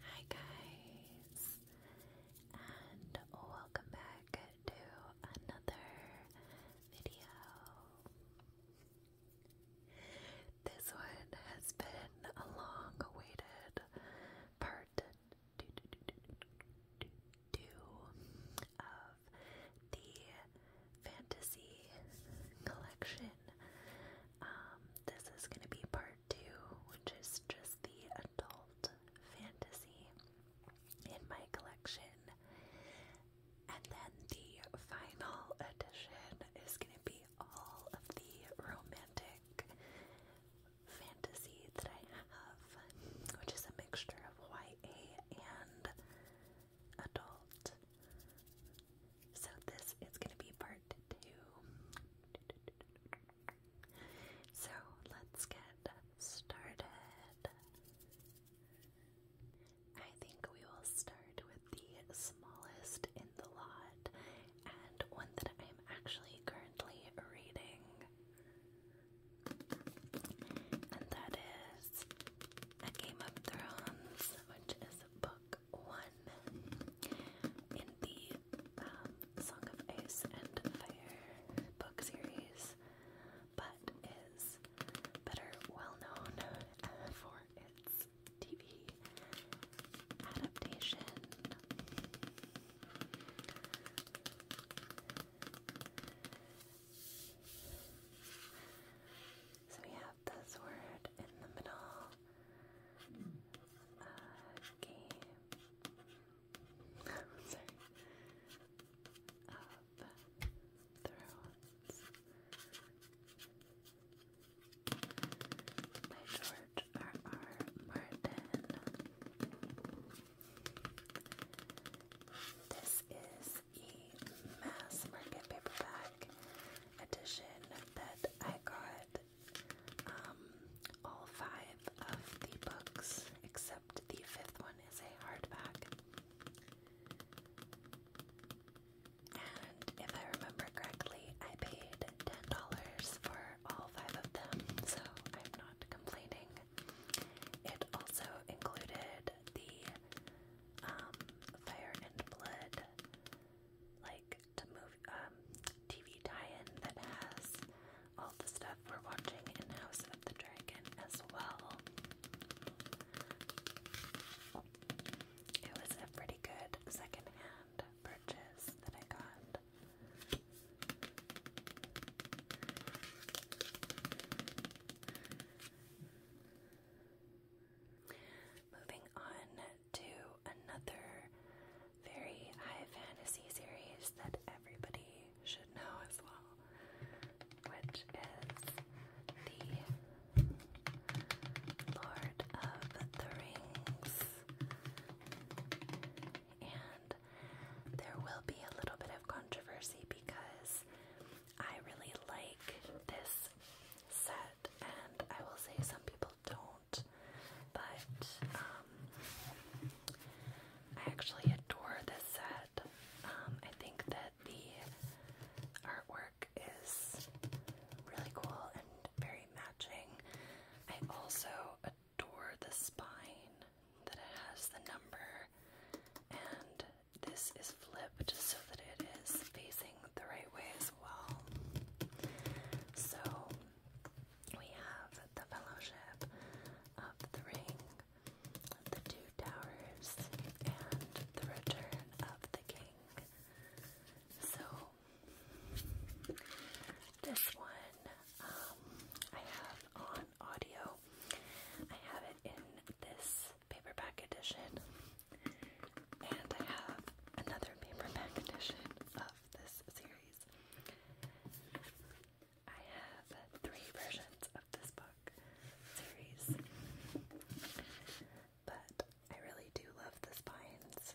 Hi guys, and welcome back to another video. This one has been a long-awaited part two, two, two, two, two, two of the fantasy collection. Um, this is going to be part two, which is just the adult fantasy in my collection. And then the final edition is going to be all of the romantic fantasy that I have, which is a mixture of YA and adult. So this is going to be part two. So let's get started. I think we will start with the smallest in the lot and one that I'm actually currently reading. And that is Game of Thrones, which is is book one in the um, Song of Ice and Fire book series, but is better well known for its TV adaptation. So, yeah, got this word in the middle. Uh, game. Sorry. Of Thrones. By George R. R. Martin. This is mass market paperback edition that I got um, all five of the books, except the fifth one is a hardback. And if I remember correctly, I paid ten dollars for all five of them, so I'm not complaining. It also included the um, Fire and Blood, like to move um, TV tie-in that has all the stuff we're watching in House of the Dragon as well. It was a pretty good second-hand purchase that I got. Moving on to another very high fantasy series that everybody should know as well, which is the Lord of the Rings. And there will be a little bit of controversy because I really like this set, and I will say some people don't, but um, I actually adore this set. Um, I think that the artwork is really cool and very matching. I also adore the spine that it has the number and this is flipped so that it is facing the right way as well. So we have the fellowship of the ring, the two towers, and the return of the king. So this one um, I have on audio. I have it in this paperback edition. And I have another paperback edition of this series. I have three versions of this book series. But I really do love the spines.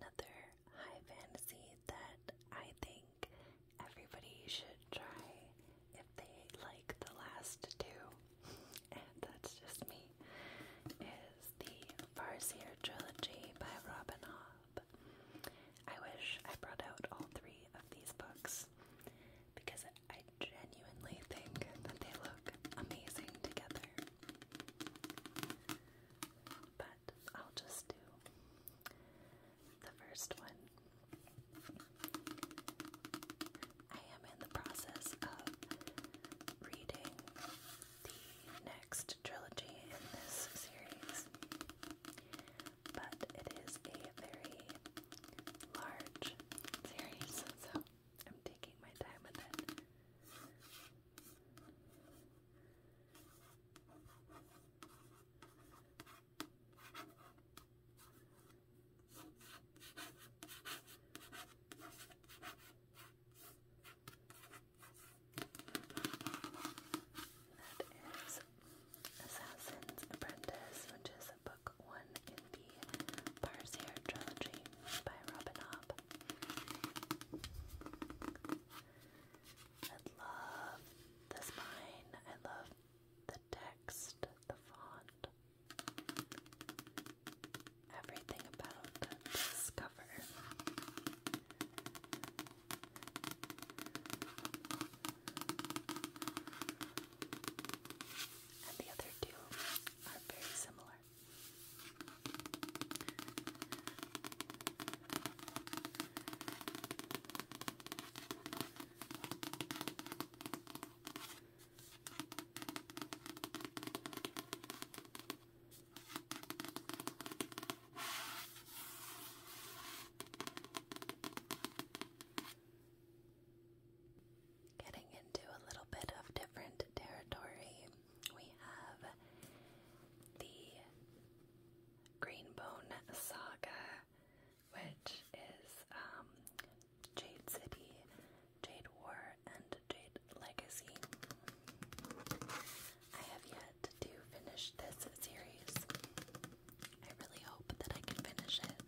Another high fantasy that I think everybody should try if they like the last two and that's just me, is the Farseer Trilogy by Robin Hobb. I wish I brought out all three of these books because I genuinely think that they look amazing together. But I'll just do the first one. I am in the process of reading the next trilogy in this series, but it is a very large series, so I'm taking my time with it. That is Assassin's Apprentice, which is book one in the Parseer trilogy by Robin Hobb. I love the spine, I love the text, the font everything about this cover. And the other two are very similar. Getting into a little bit of different territory, we have the Greenbone Saga which is um, Jade City, Jade War, and Jade Legacy. I have yet to finish this series. I really hope that I can finish it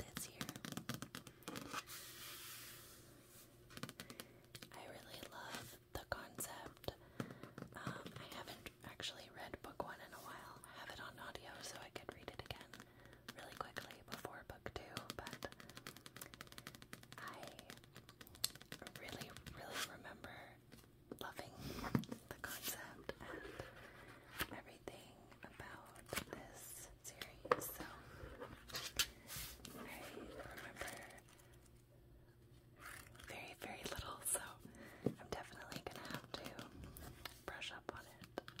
this year. I really love the concept. Um, I haven't actually read book one in a while. I have it on audio so I could read it again really quickly before book two, but I really, really remember loving the concept and everything about this series. So I remember very, very little, so I'm definitely gonna have to brush up on it.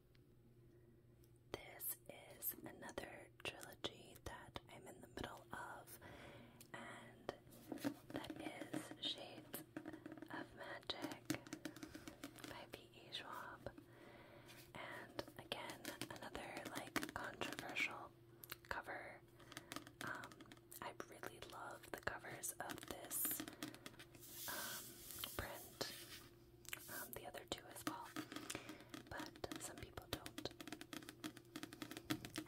This is another trilogy that I'm in the middle of, and that is Shades of Magic by P.E. Schwab. And again, another like controversial cover. Um, I really love the covers of this um, print. Um, the other two as well, but some people don't.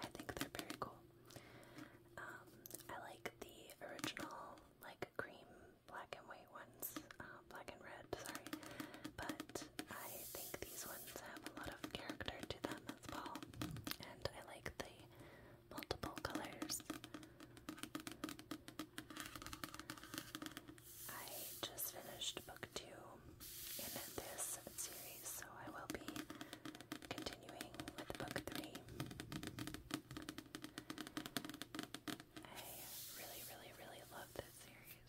I think they're very cool. Um, I like the original, like cream black and white ones, um, black and red, sorry, but I think these ones have a lot of character to them as well, and I like the multiple colors. I just finished book two in this series, so I will be continuing with book three. I really, really, really love this series.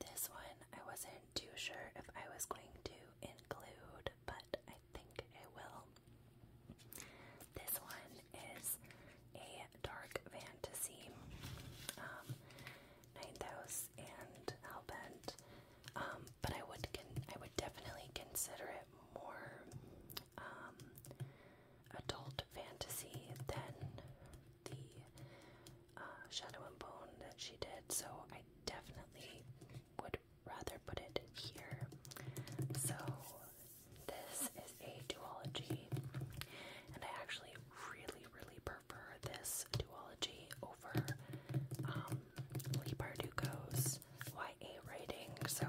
This one, I wasn't too sure if I was going to include, but I think I will. This one is a dark fantasy, um, Ninth House and Hellbent, um, but I would con I would definitely consider it more um, adult fantasy than the uh, Shadow and Bone that she did. So I definitely would rather put it here. So this is a duology, and I actually really, really prefer this duology over um, Lee Bardugo's YA writing. So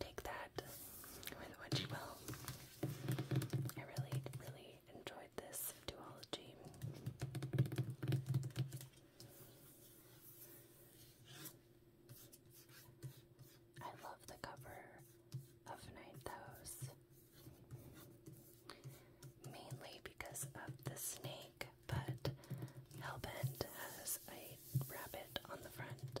take that with what you will. I really, really enjoyed this duology. I love the cover of Ninth House mainly because of the snake, but Hellbent has a rabbit on the front.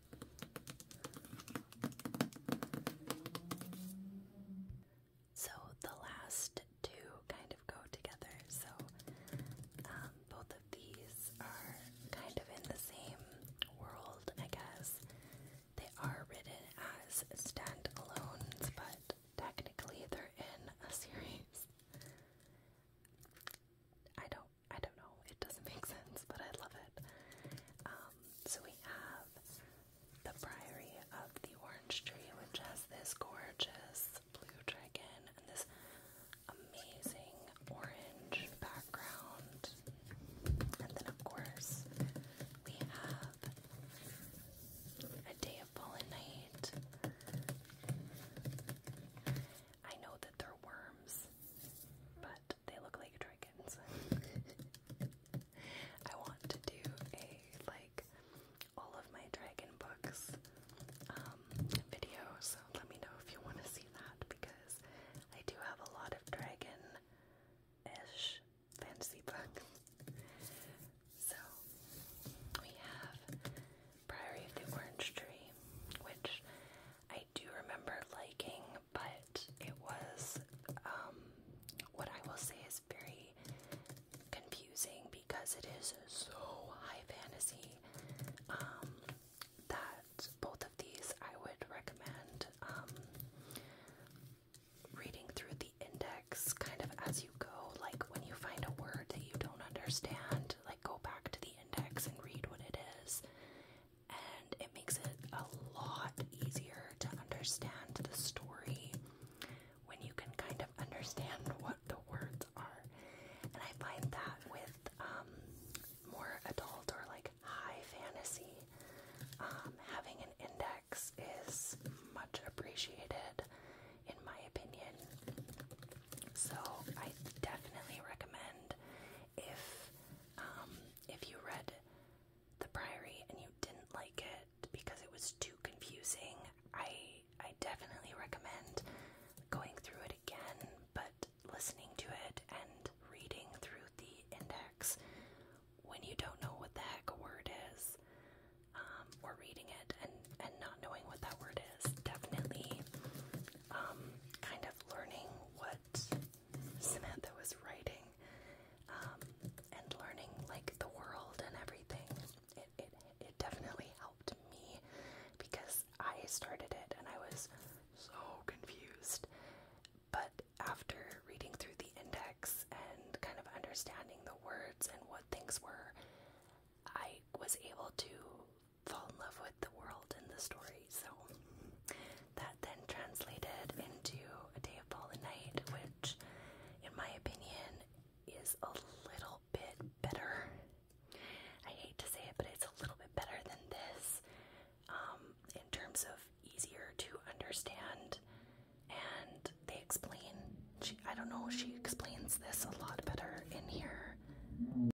So the last two kind of go together. So um, both of these are kind of in the same world, I guess. They are written as standalones, but technically they're in a series. I don't I don't know, it doesn't make sense, but I love it. Um, so we have the Priory of the Orange Tree, which has this gorgeous blue dragon and this amazing orange background. And then, of course, we have a Day of Fallen Night. I know that they're worms, but they look like dragons. I want to do a like all of my dragon books um, video, so let me know if you want to see that because I do have a lot of dragon ish fantasy books. So we have Priory of the Orange Tree, which I do remember liking but it was um, what I will say is very confusing because it is so high fantasy um, that both of these I would recommend um, reading through the index kind of as you go. Like when you find a word that you don't understand, like go back to the index and read what it is and it makes it a lot easier to understand the story when you can kind of understand what the words are. And I find that with um, more adult or like high fantasy, um, having an index is much appreciated, in my opinion. So I definitely recommend if um, if you read the Priory and you didn't like it because it was too confusing, I I definitely recommend going through it again, but listening to it and reading through the index when you don't know what the heck a word is, um, or reading it and and not knowing what that word is definitely um, kind of learning what Samantha was writing um, and learning like the world and everything. It, it, it definitely helped me because I started it and I was so confused. But after reading through the index and kind of understanding the words and what things were, I was able to fall in love with the world in the story. So that then translated into A Day of Fall and Night, which, in my opinion, is a little bit better. I hate to say it, but it's a little bit better than this um, in terms of easier to understand. And they explain, she, I don't know, she explains this a lot better in here.